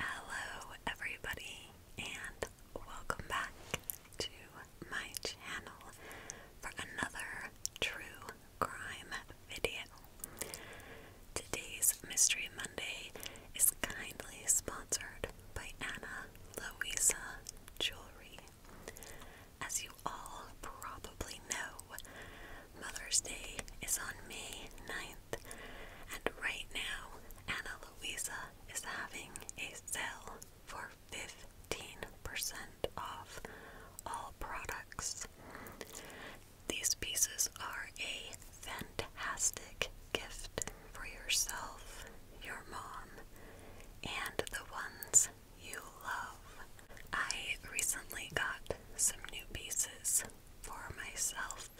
Hello, everybody, and welcome back to my channel for another true crime video. Today's Mystery Monday is kindly sponsored by Anna Louisa Jewelry. As you all probably know, Mother's Day is on May 9th. And right now, Ana Luisa is having a sale for 15% off all products. These pieces are a fantastic gift for yourself, your mom, and the ones you love. I recently got some new pieces for myself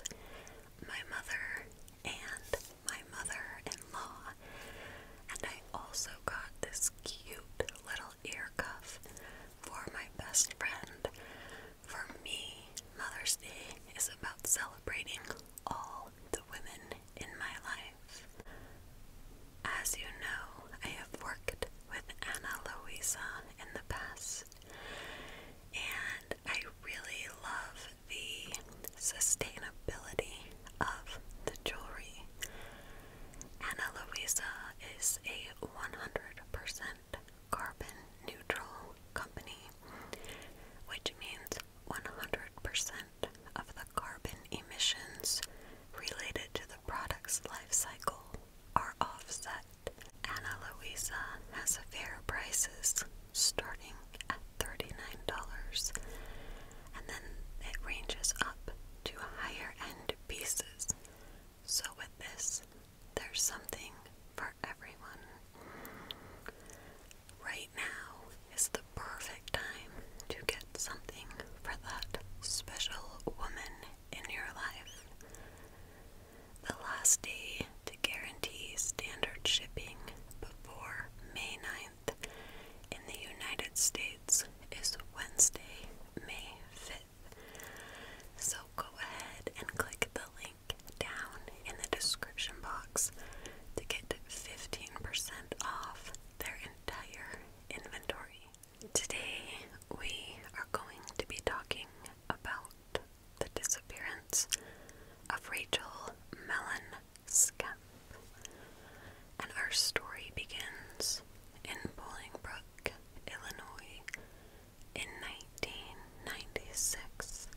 my mother and my mother-in-law. And I also got this cute little ear cuff for my best friend. For me, Mother's Day is about celebrating all the women in my life. As you know, I have worked with Ana Luisa in the past, and I really love the sustainability of the jewelry. Ana Luisa is a 100% carbon neutral company, which means 100% of the carbon emissions related to the product's life cycle are offset but Ana Luisa has fair prices starting at $39 and then it ranges up to higher end pieces. So, with this, there's something for everyone. Right now is the perfect time to get something for that special woman in your life. The last day to guarantee standard shipping before May 9th in the United States is Wednesday, May 5th. So go ahead and click the link down in the description box to get 15% off their entire inventory. Today we are going to be talking about the disappearance of Rachel Melon Skemp. And our story begins in Bolingbrook, Illinois, in 1996.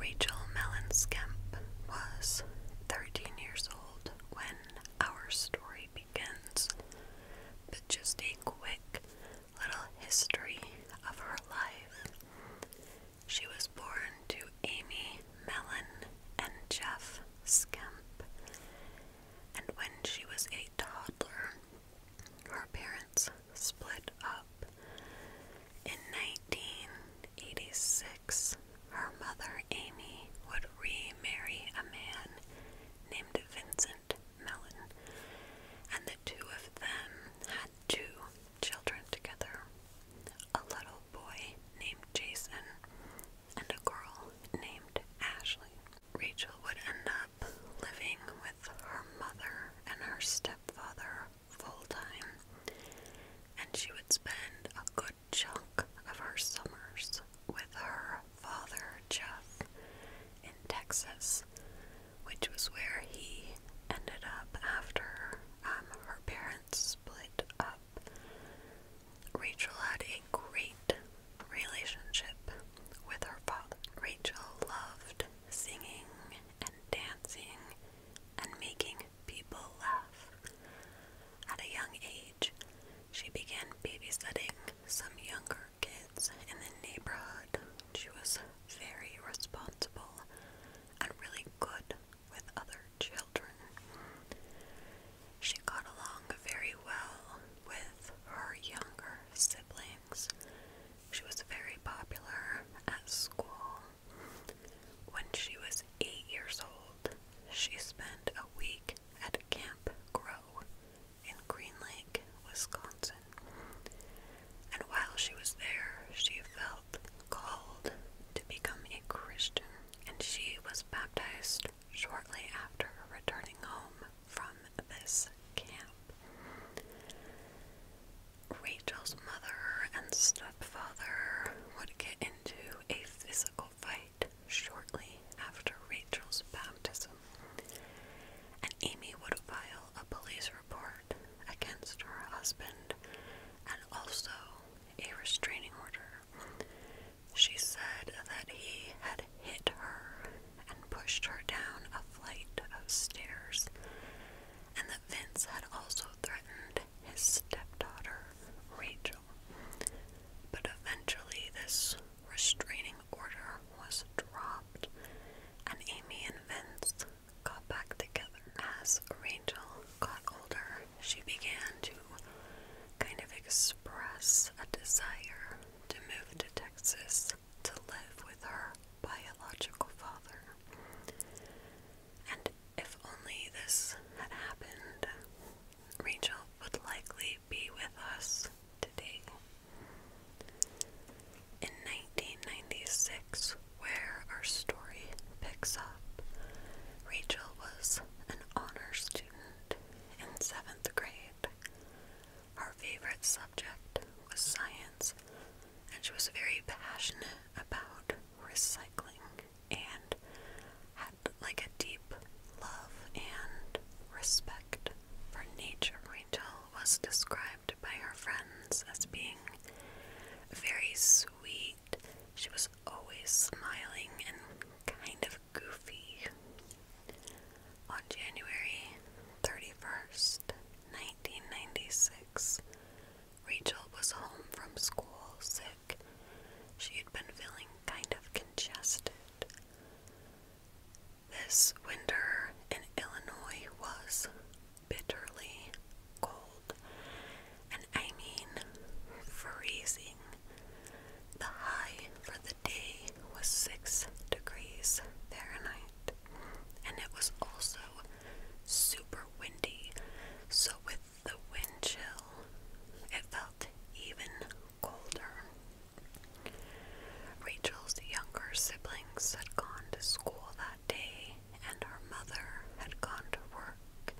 Rachel Mellon Skemp was 13 years old when our story begins. But just a quick little history of her life. She was born to Amy Mellon and Jeff Skemp, and when she was a toddler, her parents split up. In 1986, her mother Amy would remarry a man named Vincent Mellon, and the two of them had two children together a little boy named Jason and a girl named Ashley. Rachel would end up living with her mother and her stepfather full time, and she would spend a good chunk of her summers with her father, Jeff, in Texas, which was where he ended up after um, her parents split up. Rachel had a great relationship with her father. Rachel loved singing and dancing and making people laugh. At a young age, she began babysitting some younger kids in the neighborhood. She was very responsible and really good with other children. She got along very well with her younger siblings. She was very popular at school. When she was eight years old, she spent a week at Camp Grow in Green Lake, Wisconsin. And while she was there, she felt called to become a Christian, and she was baptized shortly after returning home from this camp. Rachel's mother and stepfather would get into a physical fight shortly after Rachel's baptism and Amy would file a police report against her husband and also a restraining order. She said that he had hit her and pushed her down a flight of stairs, and that Vince had also threatened his stepdaughter, Rachel. But eventually, this restraining order was dropped, and Amy and Vince got back together. As Rachel got older, she began to kind of express a desire to move to Texas to live with her biological father. And if only this had happened, Rachel would likely be with us today. In 1996, where our story picks up, Rachel was an honor student in seventh grade. Her favorite subject was science, and she was very passionate about recycling and had like a deep love and respect for nature Rachel was described by her friends as being very sweet. She was always smiling and kind of goofy. On January 31st, 1996, Rachel was home from school sick. She had been feeling kind of congested. This winter in Illinois was bitterly cold, and I mean freezing. The high for the day was six degrees Fahrenheit, and it was also super windy, so with the wind chill, it felt even colder. Rachel's younger siblings had gone to school that day, and her mother had gone to work.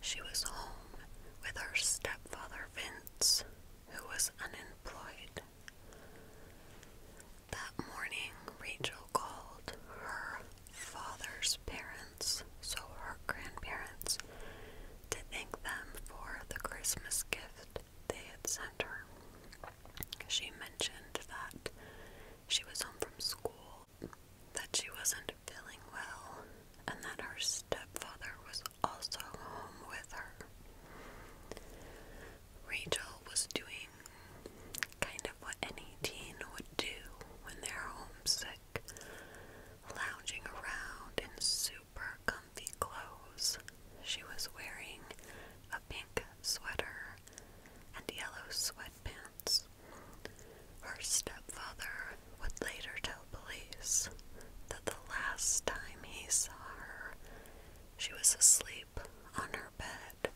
She was home with her stepfather Vince, who was unemployed. That morning, Rachel called her father's parents, so her grandparents, to thank them for the Christmas gift they had sent her. She mentioned that she was home from school, that she wasn't feeling well, and that her stepfather was also home with her. Rachel was doing kind of what any teen would do when they're homesick, lounging around in soup super comfy clothes. She was wearing a pink sweater and yellow sweatpants. Her stepfather would later tell police that the last time he saw her, she was asleep on her bed,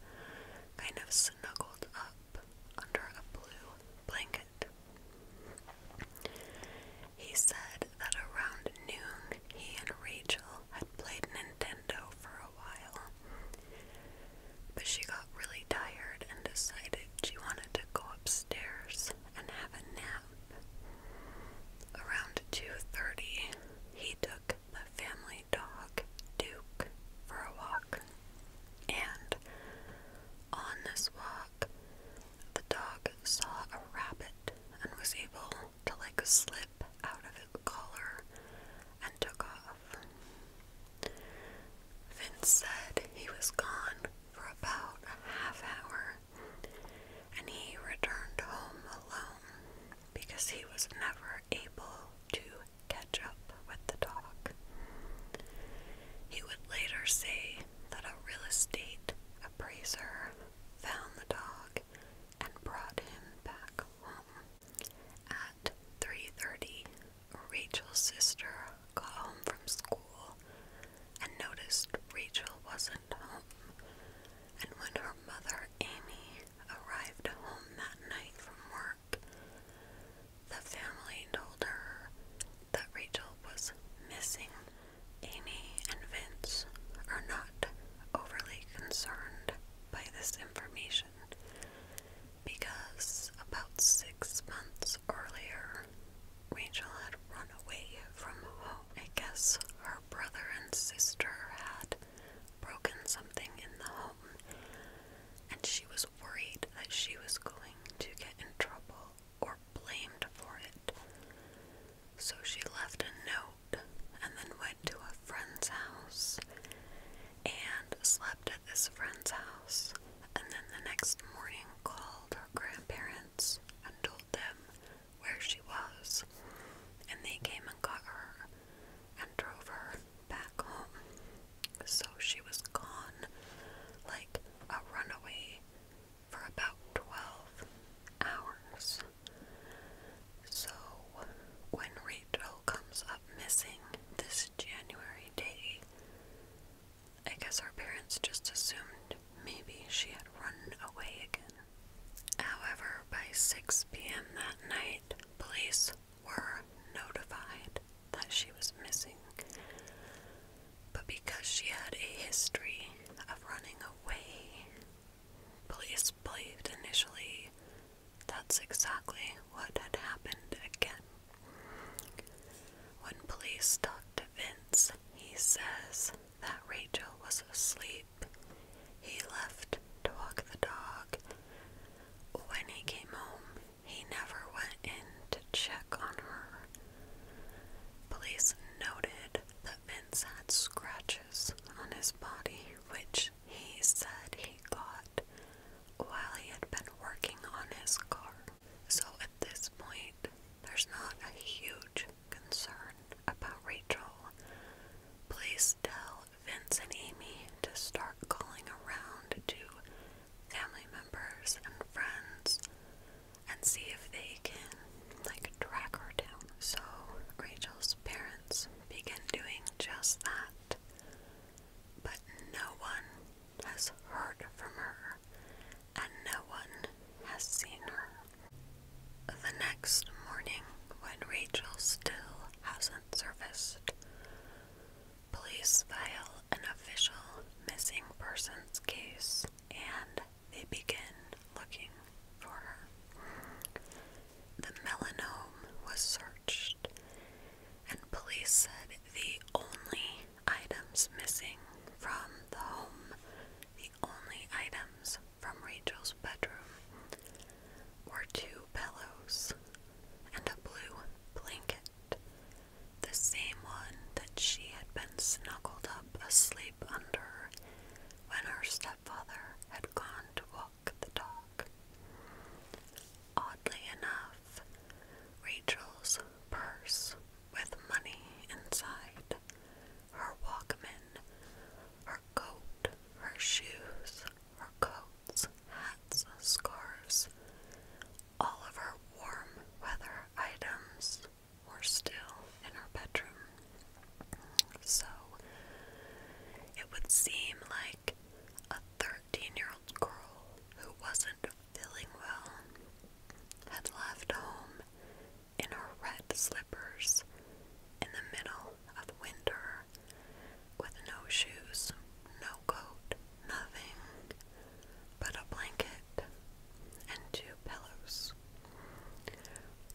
kind of snuggled up under a blue blanket. He said that around noon he and Rachel had played Nintendo for a while, but she got really tired and decided she wanted to go upstairs and have a nap. Around 2:30, he took the family dog Duke for a walk, and on this walk, the dog saw a rabbit and was able to like slip out of its collar and took off. Vince said he was gone for about a half hour and he returned home alone because he was never able to catch up with the dog. He would later say that a real estate appraiser found the dog, and brought him back home. At 3:30, Rachel's sister got home from school and noticed Rachel wasn't home. And when her mother Amy arrived home that night from work, the family told her that Rachel was missing. Amy and Vince are not overly concerned by this information because about six months earlier, Rachel had run away from home. I guess her brother and sister had broken something in the home, and she was worried that she was going to get in trouble or blamed for it. So she left a note and then went to a friend's house and slept at this friend's house and then the next morning called her grandparents and told them where she was and they came and got her and drove her back home. So she was gone like a runaway for about 12 hours. So, when Rachel comes up missing this January day, I guess our parents just assumed maybe she had run away again. However, by 6 p.m. that night, police were notified that she was missing. But because she had a history of running away, police believed initially that's exactly what had happened again. When police talked to Vince, he says that Rachel was asleep. He left to walk the dog. When he came home, he never went in to check on her. Police noted that Vince had scratches on his body, which he said he got while he had been working on his car. So at this point, there's not a huge concern about Rachel. Please tell Vince and Amy to start calling around to family members and friends and see if they can like track her down. So Rachel's parents begin doing just that. But no one has heard from her and no one has seen her. The next morning, when Rachel still hasn't surfaced, police file an official missing persons case and they began looking for her. The melanome was searched, and police said the only items missing from the home, the only items from Rachel's bedroom, were two pillows and a blue blanket the same one that she had been snuggled up asleep under when her stepfather had gone to walk the dog. Oddly enough, Rachel's purse with money inside, her Walkman, her coat, her shoes, her coats, hats, scarves, all of her warm weather items were still in her bedroom. So it would seem like a 13 year old girl who wasn't feeling well had left home in her red slippers in the middle of winter with no shoes, no coat, nothing but a blanket and two pillows.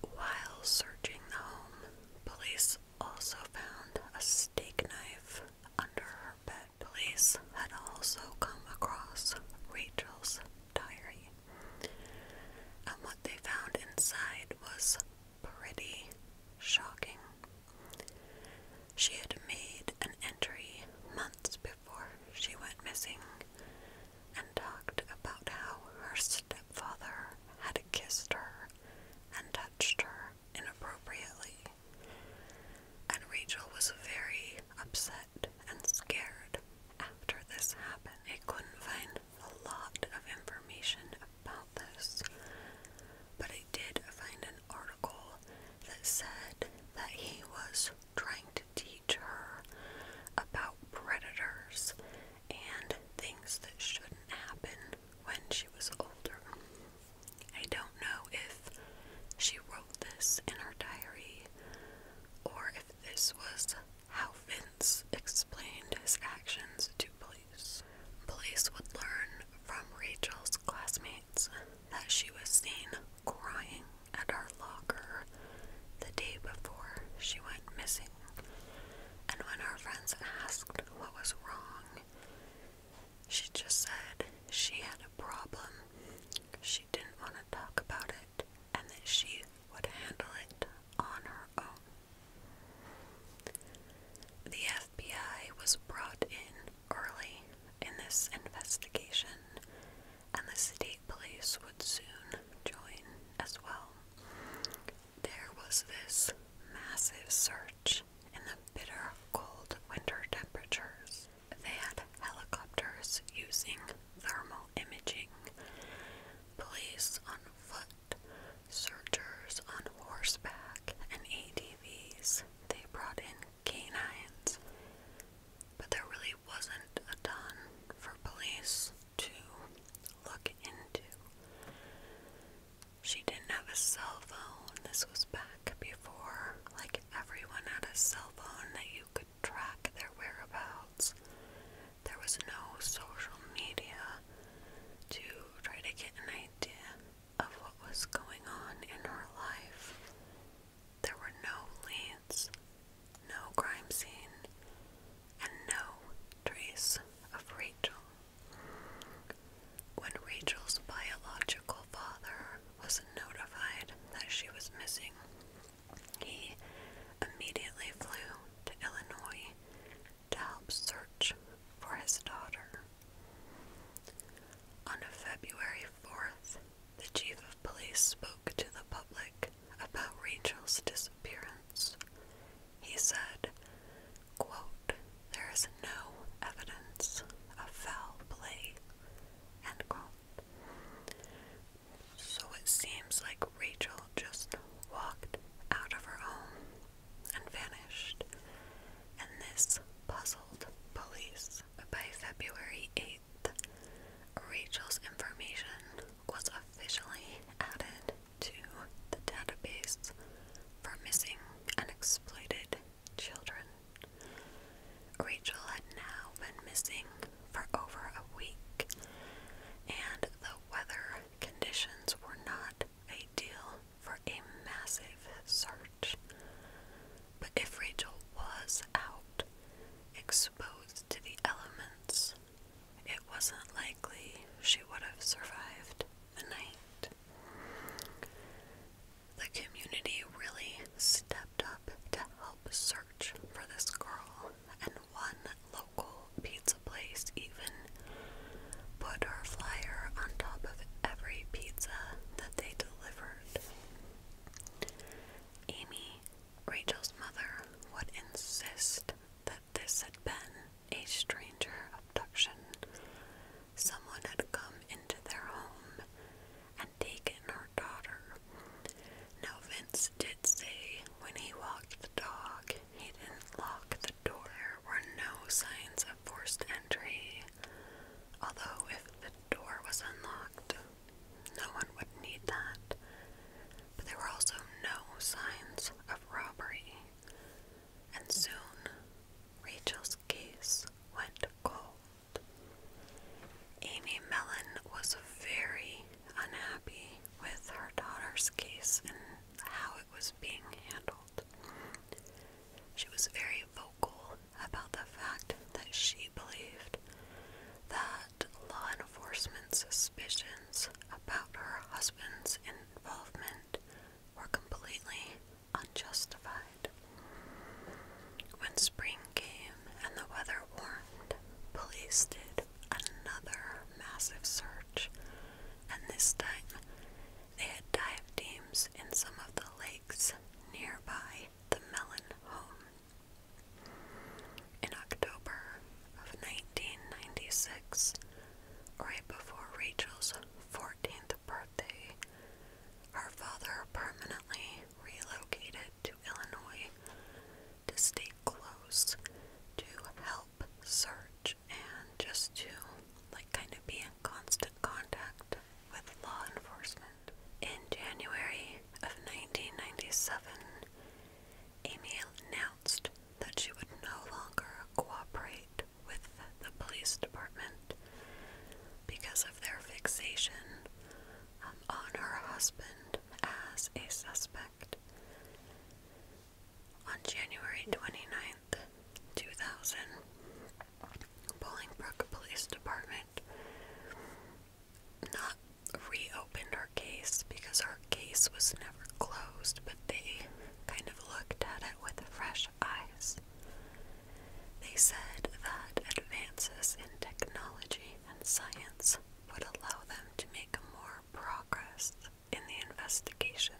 While searching the home, police also found a steak knife under her bed. Police had also come across Rachel's diary, and what they found inside was pretty shocking. She had made an entry months before before she went missing and talked about how her stepfather had kissed her and touched her inappropriately. And Rachel was very upset and scared after this happened. I couldn't find a lot of information about this, but I did find an article that said that he was trying to teach her about predators and things that shouldn't happen when she was older. I don't know if she wrote this in her diary or if this was how Vince explained his actions to police. Police would learn from Rachel's classmates that she was seen crying at our locker the day before she went missing, and when her friends asked what was wrong, she just said she had a problem, she didn't want to talk about it, and that she would handle it on her own. The FBI was brought in early in this investigation, and the state police would soon join as well. There was this massive search in the bitter cold winter temperatures. They had helicopters using thermal imaging, police on foot, searchers on horseback, and A D V s. They brought in canines, but there really wasn't a ton for police to look into. She didn't have a cell phone. This was back before, like, everyone had a cell phone that you could track their whereabouts. There was no social media to try to get an idea of what was going on in her life. There were no leads, no crime scene, and no trace of Rachel. When Rachel's biological father was notified that she was missing, he immediately flew to Illinois to help search for his daughter. On February 4th, the chief police spoke to the public about Rachel's disappearance. He said, quote, There is no evidence of foul play. So it seems like Rachel just walked out of her home and vanished, and this puzzled police. By February 8, Rachel's information was officially added to the database for missing and exploited children. Rachel had now been missing for over a week, and the weather conditions were not ideal for a massive search. But if Rachel was out, exposed to the elements, it wasn't likely she would have survived the night. The community really stepped up to help search for this girl, and one local pizza place even put her flyer on top of every pizza that they delivered. Amy, Rachel's mother, would insist that this had been a stranger abduction. Someone had come into their home and taken her daughter. Now, Vince did say when he walked the dog, he didn't lock the door. There were no signs of forced entry, although if the door was unlocked, no one would need that. But there were also no signs of robbery. And soon, Rachel's case went cold. Amy Mellon was very unhappy with her daughter's case and how it was being handled. She was very vocal about the fact that she believed that law enforcement's suspicions about her husband's involvement were completely unjustified. When spring came and the weather warmed, police did another massive search, and this time they had dive teams in some of the lakes nearby the melon home. In October of 1996, right before Rachel's 14th birthday, her father permanently relocated to Illinois to stay close, to help search, and just to, like, kind of be in constant contact with law enforcement. In January of 1997, Amy announced that she would no longer cooperate with the police department because of their fixation um, on her husband as a suspect. On January 29th, 2000, Bolingbrook Police Department not reopened our case because our case was never closed, but they kind of looked at it with fresh eyes. They said that advances in technology and science would allow them to make more progress in the investigation.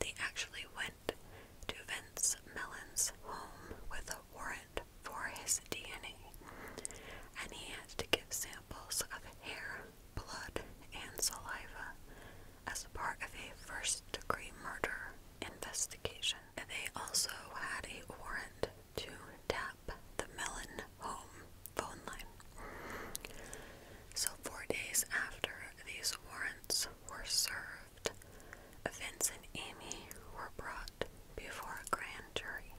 They actually went warrant to Vince Mellon's home with a warrant for his DNA, and he had to give samples of hair, blood, and saliva as part of a first degree murder investigation. They also had a warrant to tap the Melon home phone line. So, four days after these warrants were served, Vince and Amy were brought before a grand jury.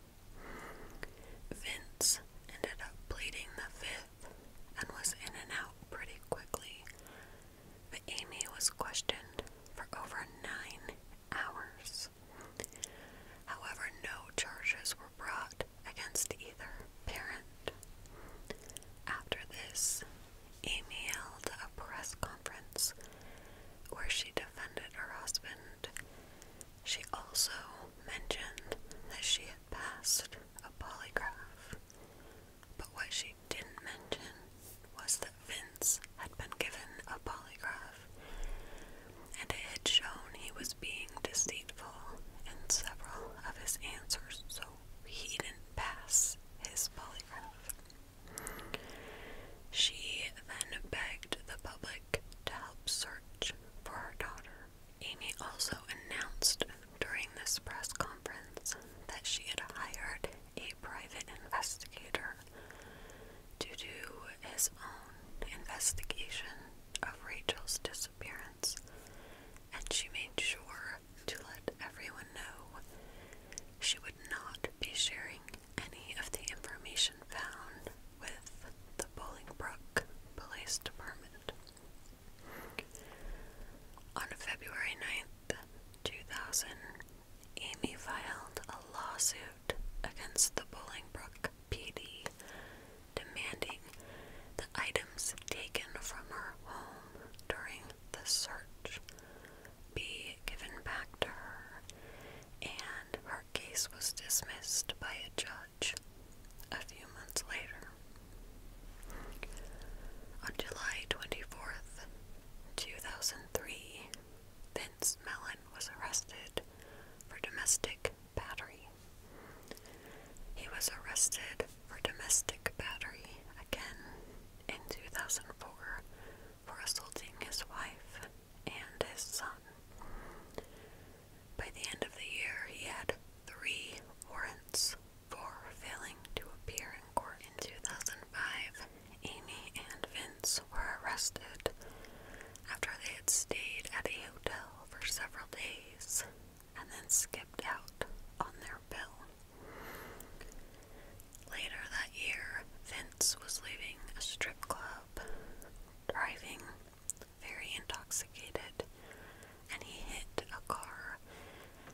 Vince ended up pleading the fifth and was in and out pretty quickly, but Amy was questioned for over nine hours. However, no charges were brought against either parent. After this, Amy held a press conference where she defended her husband. She also mentioned that she had passed a polygraph, but what she didn't mention was that Vince had been given a polygraph and it had shown he was being deceitful in several of his answers, so he didn't pass his polygraph. She then begged the public to help search for her daughter. Amy also announced during this press conference that she had hired a private investigator to do his own investigation of Rachel's disappearance, and she made sure to let everyone know she would not be sharing any of the information found with the Bowling Brook Police Department. On February 9th, 2000, Amy filed a lawsuit against the Bowling Brook PD demanding the items taken from her home during the search be given back to her, and her case was dismissed by a judge a few months later. On July 24th, 2003, Vince Mellon was arrested for domestic battery. He was arrested for domestic battery again in 2004 for assaulting his wife and his son. By the end of the year, he had three warrants for failing to appear in court. In 2005, Amy and Vince were arrested after they had stayed at a hotel for several days and then skipped out on their Later that year, Vince was leaving a strip club, driving, very intoxicated, and he hit a car.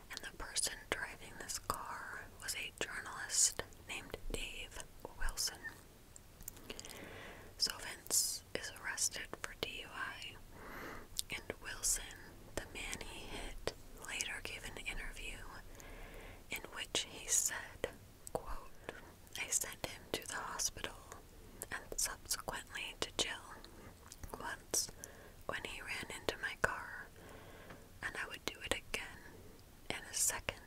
And the person driving this car was a journalist named Dave Wilson. So Vince is arrested for DUI, and Wilson the man he hit later gave an interview in which he said, I sent him to the hospital and subsequently to jail once when he ran into my car, and I would do it again in a second,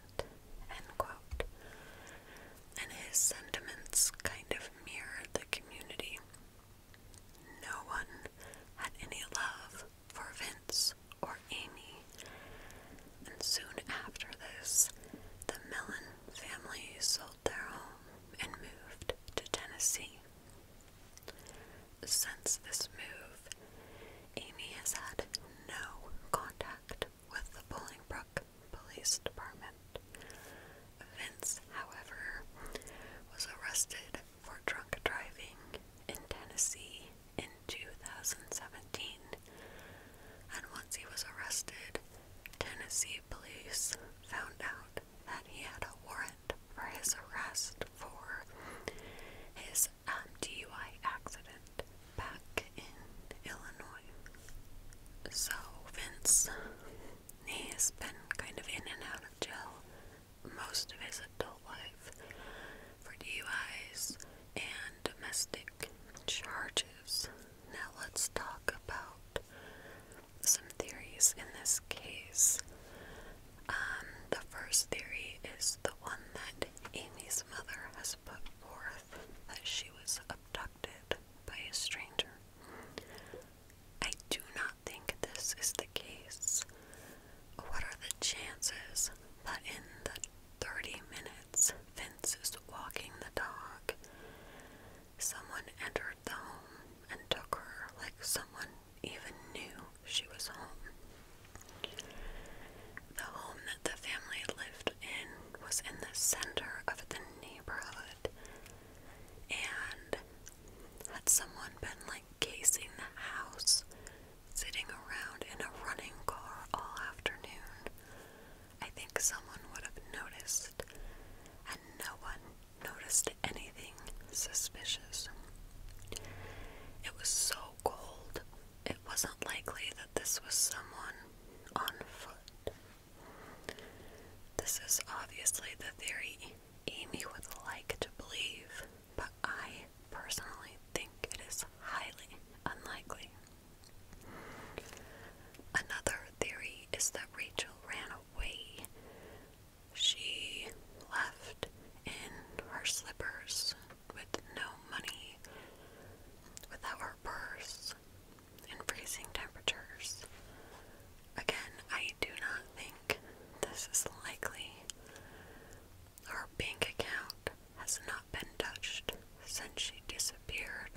And his sentiments kind of mirrored the community no one had any love for Vince or Amy, and soon after this, the Mellon family sold their home and moved to Tennessee. Since this move, Amy has had no contact with the Bolingbrook Police Department. Vince, however, was arrested for drunk driving in Tennessee in 2017, and once he was arrested, Tennessee police found out that he had a warrant for his arrest for his um, DUI accident back in Illinois. So Vince, he's been kind of in and out of jail most of his adult life for DUIs and domestic charges. Now, let's talk about some theories in this case. Um, the first theory is the one that Amy's mother has put forth that she was abducted by a stranger. I do not think this is the case. What are the chances that in the 30 minutes Vince is walking the dog, someone entered the home and took her like someone even knew she was home? The home that the family lived in was in the center of the neighborhood, and had someone been like casing the house, sitting around in a running car all afternoon. I think someone would have noticed, and no one noticed anything suspicious. It was so cold, it wasn't likely that this was someone on foot. This is obviously the theory Amy would like to believe, but I personally think it is highly unlikely. Another theory is that Rachel ran away. She left in her slippers with no money, without her purse, in freezing temperatures. Again, I do not think this is likely. Her bank account has not been touched since she disappeared.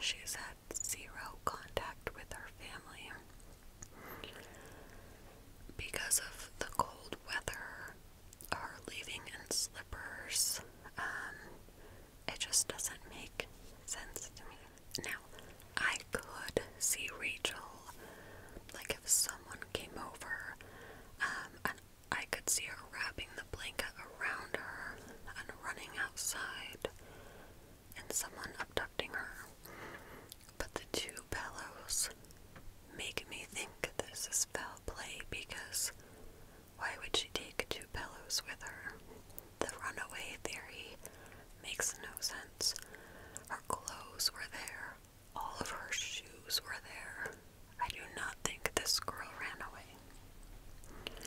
She's had zero contact with her family. Because of the cold weather, her leaving in slippers, um, it just doesn't make sense to me. I could see Rachel, like if someone came over, um, and I could see her wrapping the blanket around her and running outside, and someone abducting her. But the two pillows make me think this is foul play because why would she take two pillows with her? The runaway theory Makes no sense. Her clothes were there. All of her shoes were there. I do not think this girl ran away.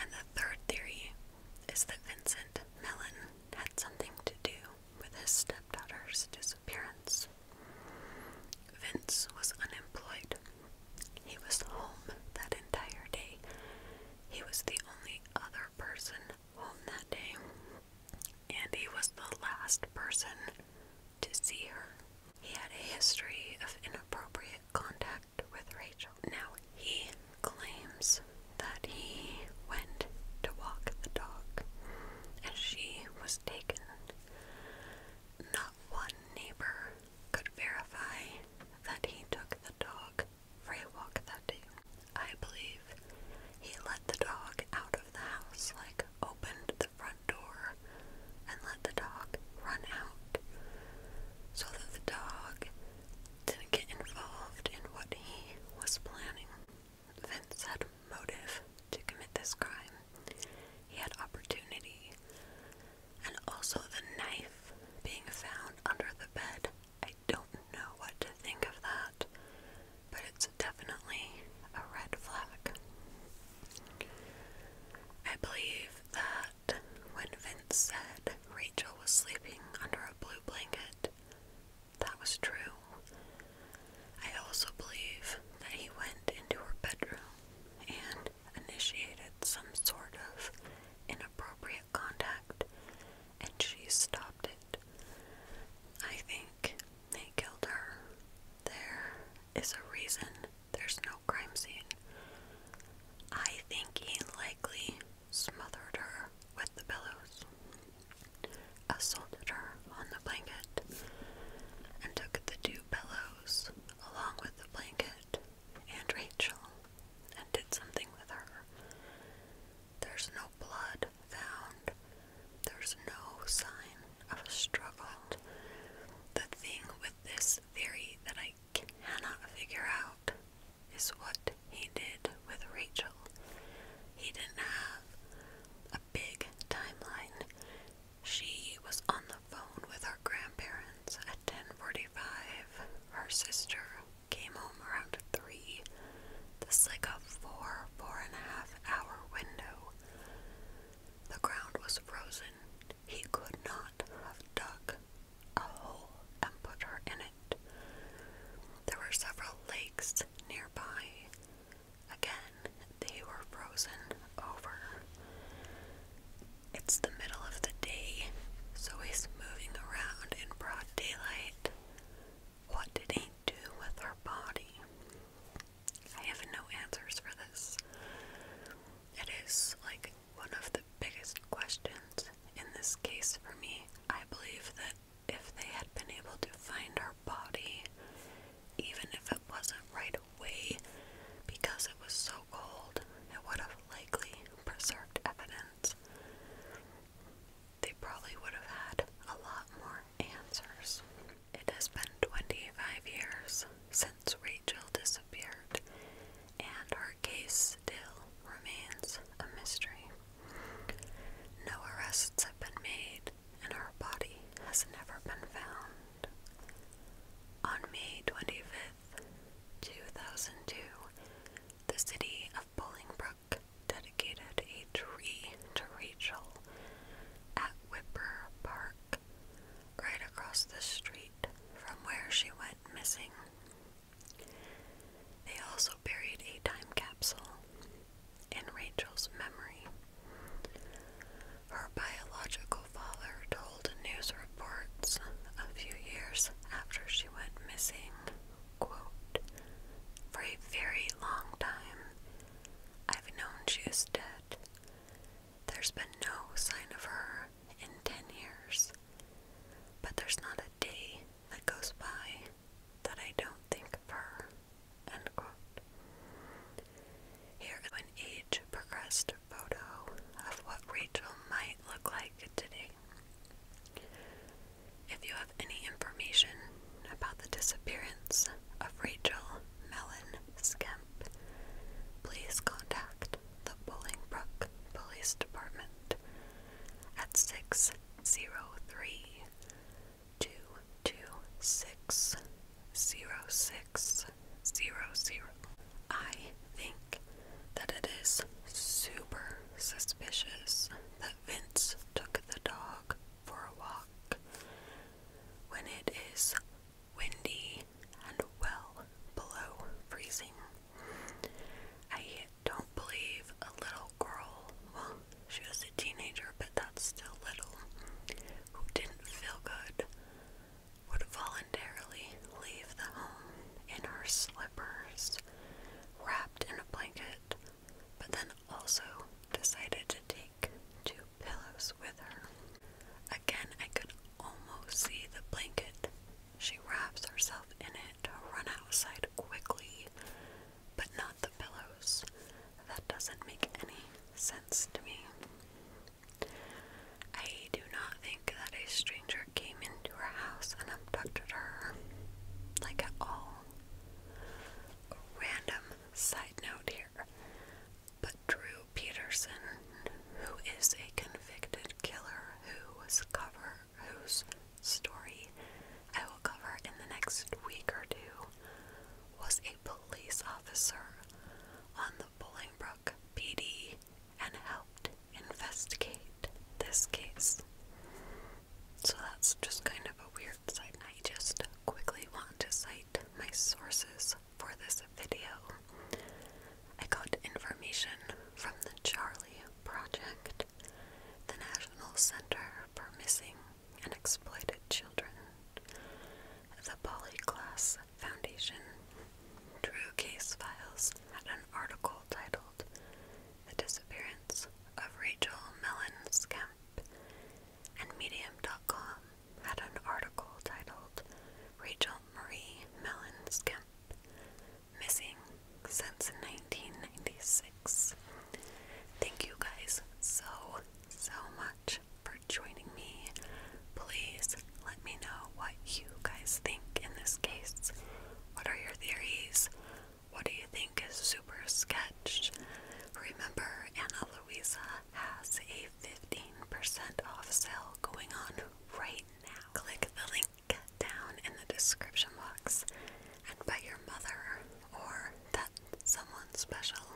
And the third theory is that Vincent Mellon had something to do with his stepdaughter's disappearance. Vince was unemployed. He was home that entire day. He was the only other person home that day. Andy was the last person to see her. He had a history of inappropriate contact with Rachel. Now, he claims that he went to walk the dog and she was taken. Not one neighbor could verify that he took the dog for that day. I believe he let the dog out of the house, like opened the front door and let the dog run out so that the dog didn't get involved in what he was planning. Vince had motive to commit this crime. He had opportunity. And also the knife being found under the bed don't know what to think of that, but it's definitely a red flag. I believe that when Vince said Rachel was sleeping under a blue blanket, that was true. I also believe that he went into her bedroom and initiated some sort of inappropriate contact, and she stopped it. I think they killed her. There is a reason there's no crime scene. I think he likely smothered her with the pillows, assaulted her on the blanket, and took the two pillows along with the blanket and Rachel and did something with her. There's no blood found. There's no sign of a struggle. The thing with this theory that I cannot figure out is what he did with Rachel. He didn't have a big timeline. She was on the phone with her grandparents at 10:45. Her sister came home around 3. This is like a 4, 4 hour window. The ground was frozen. He could not have dug a hole and put her in it. There were several lakes nearby. Again, they were frozen over. It's the middle of the day, so he's moving around in broad daylight. What did he do with her body? I have no answers for this. It is like one of the biggest questions in this case for me. I believe that if they had been able to find her body, even if it wasn't right away, because it was so cold, it would have likely preserved evidence they probably would have had a lot more answers. It has been 25 years since Rachel disappeared, and her case still remains a mystery. No arrests have been made, and her body has never been found. On May 25th, 2002, the city of Bolingbrook dedicated a tree to Rachel at Whipper Park, right across the street from where she went missing. They also buried a time capsule in Rachel's memory. Her biological father told news reports a few years after she went missing for a very long time, I've known she is dead. There's been no sign of her in ten years, but there's not a day that goes by that I don't think of her. Here is an age progressed photo of what Rachel might look like today. If you have any information about the disappearance of Rachel Mellon Skemp, please contact the Bolingbrook Police Department at 603 226 0600. I think that it is super suspicious that Vince took the dog for a walk when it is windy and well below freezing. I don't believe a little girl, well, she was a teenager, but that's still little, who didn't feel good would voluntarily leave the home in her slippers wrapped in a blanket, but then also decided to take two pillows with her. Again, I could almost see the blanket. She wraps herself in it to run outside quickly, but not the pillows. That doesn't make any sense to me. I do not think that a stranger came into her house and abducted her. Like at all. random side note here. But Drew Peterson, who is a convicted killer who was cover whose story I will cover in the next week or two, was a police officer on the Bolingbrook PD and helped investigate this case. So that's just kind of a weird side. I just quickly want to cite my sources for this video. I got information from the Charlie Project, the National Center for Missing and Exploited Children, the Polyglass Foundation. Drew Case Files had an article titled The Disappearance of Rachel Mellon Skemp, and Medium.com had an article titled Rachel Marie Mellon Skemp Missing Since 1996. Thank you guys so, so much for joining me. Please let me know what you guys think in this case. What are your theories? What do you think is super sketched? Remember, Anna Luisa has a 15% off sale going on right now. Click the link down in the description box and buy your mother or that someone special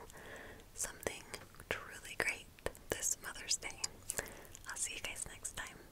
something truly great this Mother's Day. I'll see you guys next time.